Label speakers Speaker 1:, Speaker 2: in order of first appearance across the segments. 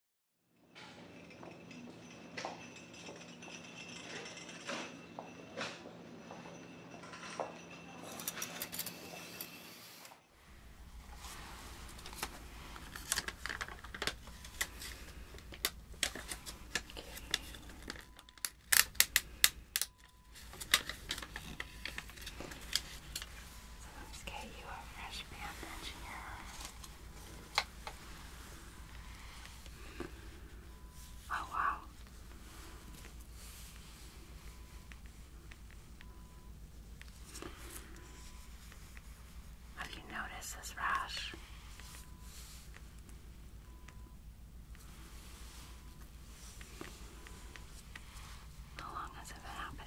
Speaker 1: So let's get you a fresh bandage here. Oh, wow. Have you noticed this rash? How long has it been happening?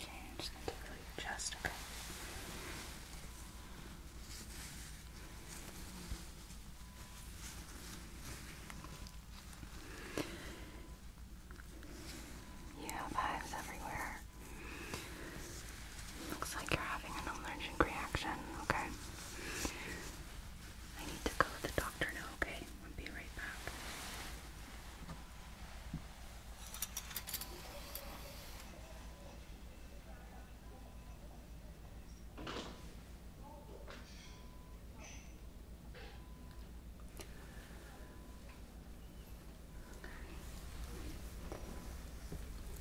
Speaker 1: Okay, I'm just going to take a look at your chest, okay? You have hives everywhere. Looks like you're having an allergic reaction, okay? I need to go to the doctor now, okay? I'll be right back.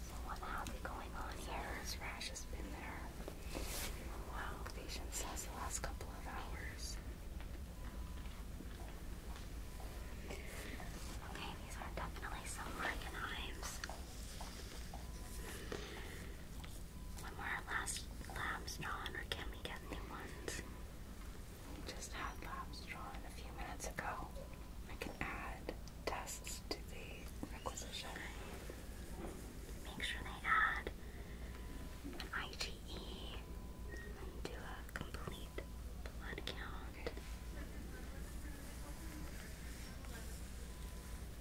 Speaker 1: So what going on here? This rash has been there. Wow, patient says the last couple of hours. Okay, these are definitely some Frankenheims when we last lab drawn, or can we get new ones? We just had labs drawn a few minutes ago. I can add tests to the requisition. Make sure they add IgE and do a complete blood count.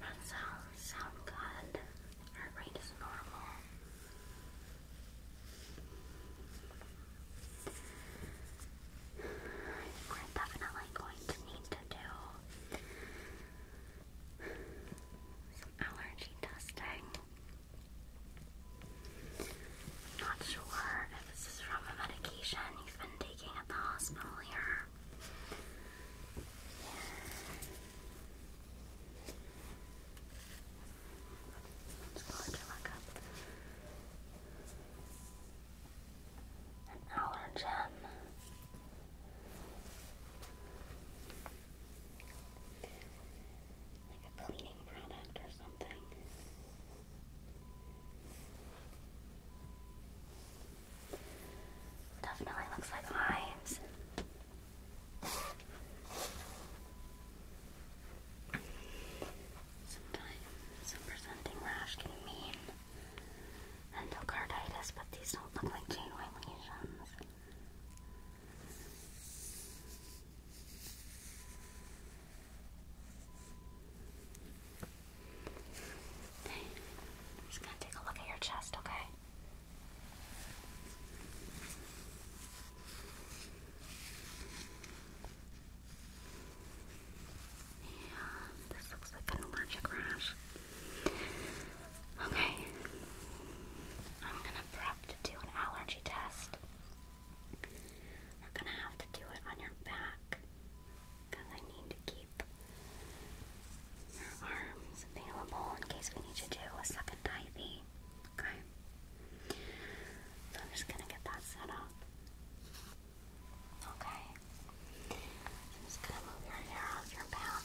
Speaker 1: That sounds sound good. Heart rate is normal. We're definitely going to need to do some allergy testing. Not sure if this is from a medication you've been taking at the hospital here. allergen. Like a cleaning product or something. Definitely looks like hives. Sometimes a presenting rash can mean endocarditis, but these don't look like genuine lesions. I'm just gonna take a look at your chest, okay? Yeah, this looks like an allergic rash. Okay, I'm gonna prep to do an allergy test. We're gonna have to do it on your back because I need to keep your arms available in case we need to do a second IV. Okay? So I'm just gonna get that set up. Okay. I'm just gonna move your hair off your back.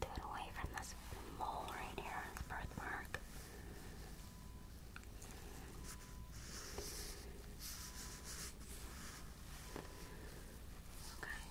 Speaker 1: Do it away from this mole right here, birthmark. Okay.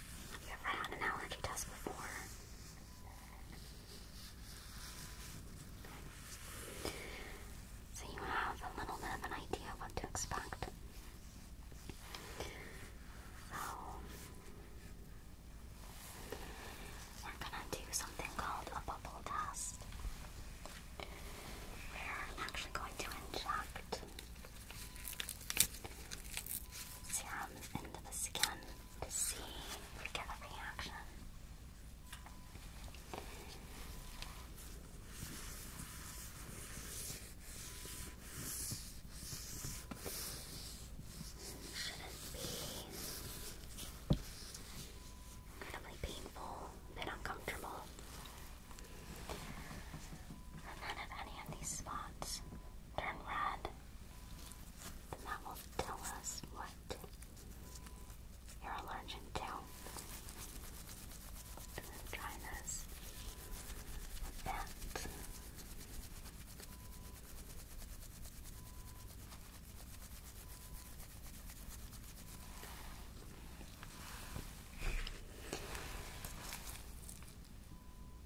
Speaker 1: You ever had an allergy test before? So you have a little bit of an idea of what to expect. So we're gonna do something called a bubble test. We're actually going to inject serum into the skin to see if we get a reaction. Shouldn't be incredibly painful, a bit uncomfortable. And then, any of these spots turn red, then that will tell us what you're allergic try this with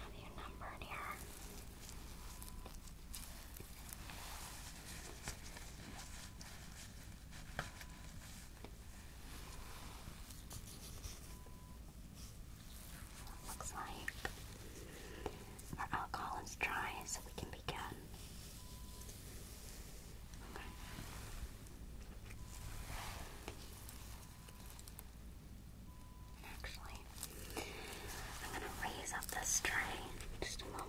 Speaker 1: Have you numbered here? Okay looks like our alcohol is dry, so we can begin. Actually, I'm going to raise up this tray just a moment.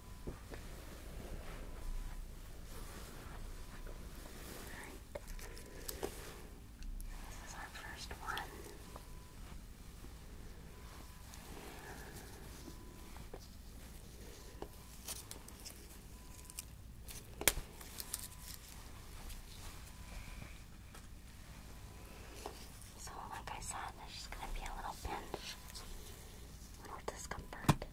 Speaker 1: Alright. This is our first one. So, like I said, there's just going to be a little pinch little discomfort.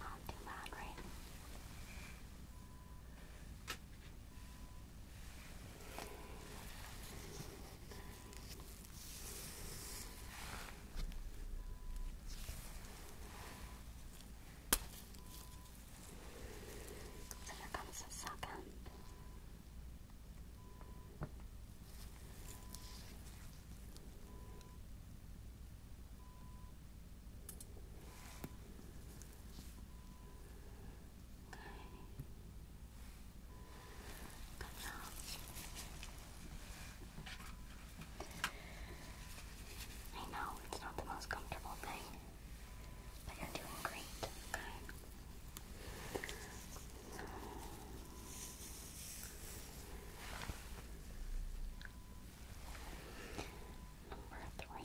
Speaker 1: Not too bad, right? So here comes the second. Okay. Genau. I know it's not the most comfortable thing, but you're doing great, okay? number three.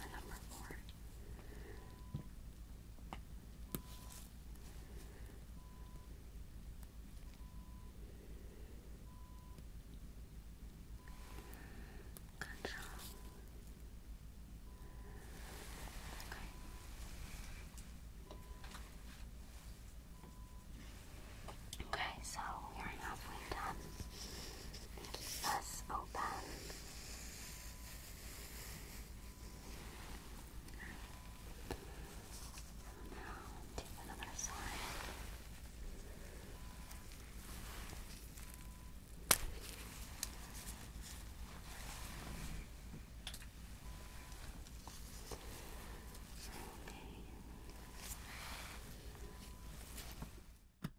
Speaker 1: And number Okay, so we are halfway done thus open. And now do another side. Okay. Doing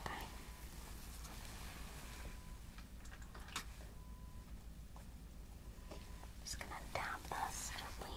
Speaker 1: okay. Just gonna tap this gently.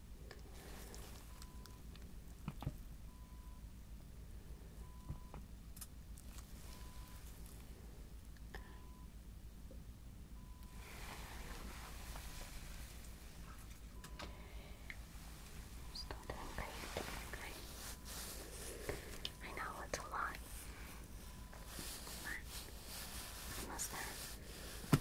Speaker 1: Still doing I know it's a lot, but I must have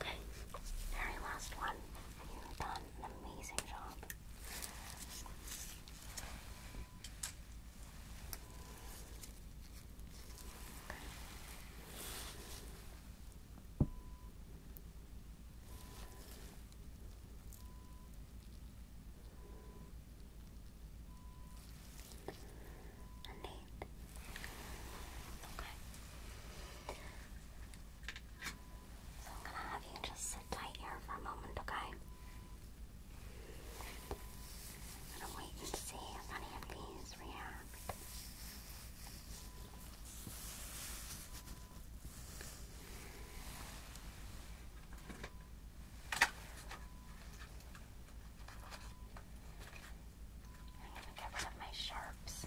Speaker 1: Okay, very last one. You've done an amazing job. Okay. So I'm gonna have you just sit tight here for a moment, okay? I'm gonna wait and see if any of these react. I'm going to get rid of my sharps.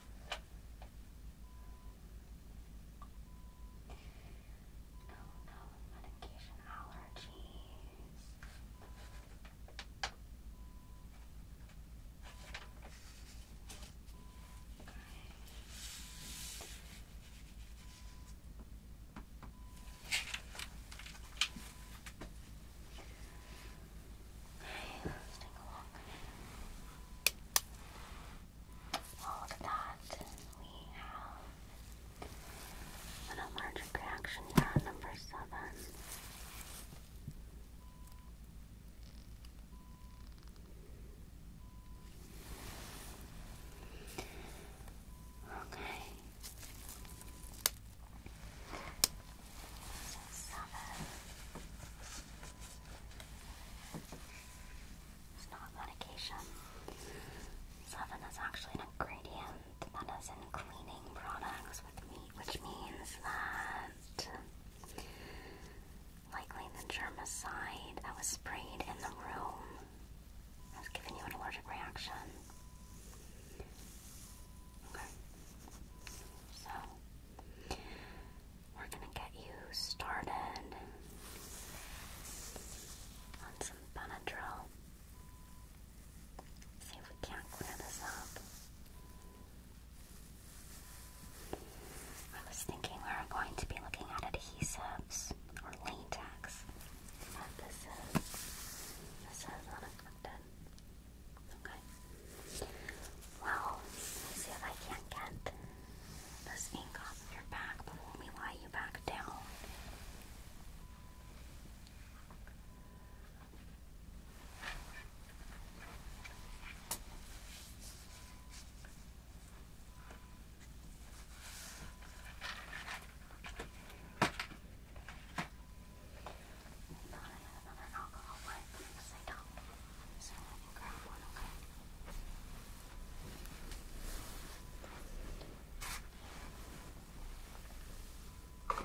Speaker 1: Oh no, medication allergies. Okay, let look. All that, we have an allergic reaction down number seven. Okay seven. It's not medication. Seven is actually an ingredient that is in cleaning products with meat, which means that likely the germicide that was sprayed in the room has given you an allergic reaction. Okay. So we're going to get you started on some Benadryl. See if we can't clear this up. I was thinking we are going to be looking at adhesives or latex, this is, this is unaffected. Okay. Well, let's see if I can't get this ink off of your back, but when we lie you back down. Okay. No, I have another alcohol one because I don't. So I can grab one, okay? Okay,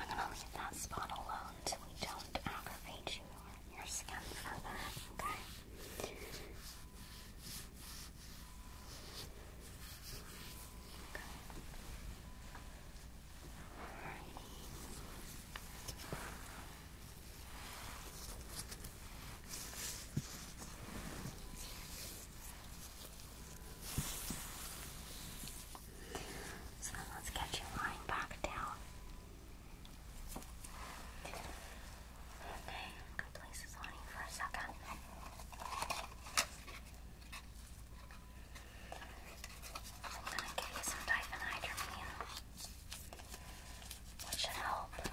Speaker 1: I'm gonna leave that spot alone so we don't aggravate you or your skin further, okay? Okay. Alrighty. So let's get you lying back down. Okay, I'm going for a second. I'm gonna give you some diphenhydramine. That should help. Okay.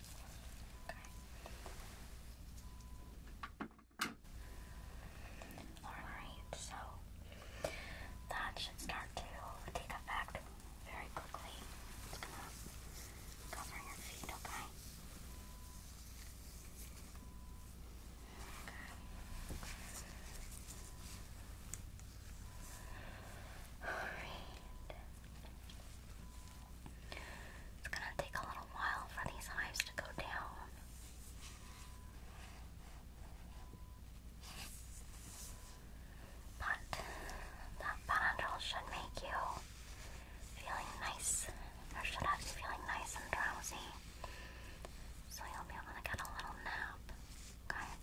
Speaker 1: Okay. Alright, so that should start to take effect very quickly. It's gonna cover your feet, Okay. Alright. It's gonna take a little while for these hives to go down. But that bundle should make you feeling nice, or should have you feeling nice and drowsy. So you'll be able to get a little nap. Okay.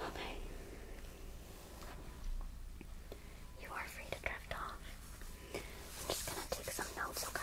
Speaker 1: Okay. You are free to drift off. I'm just gonna take some notes, okay?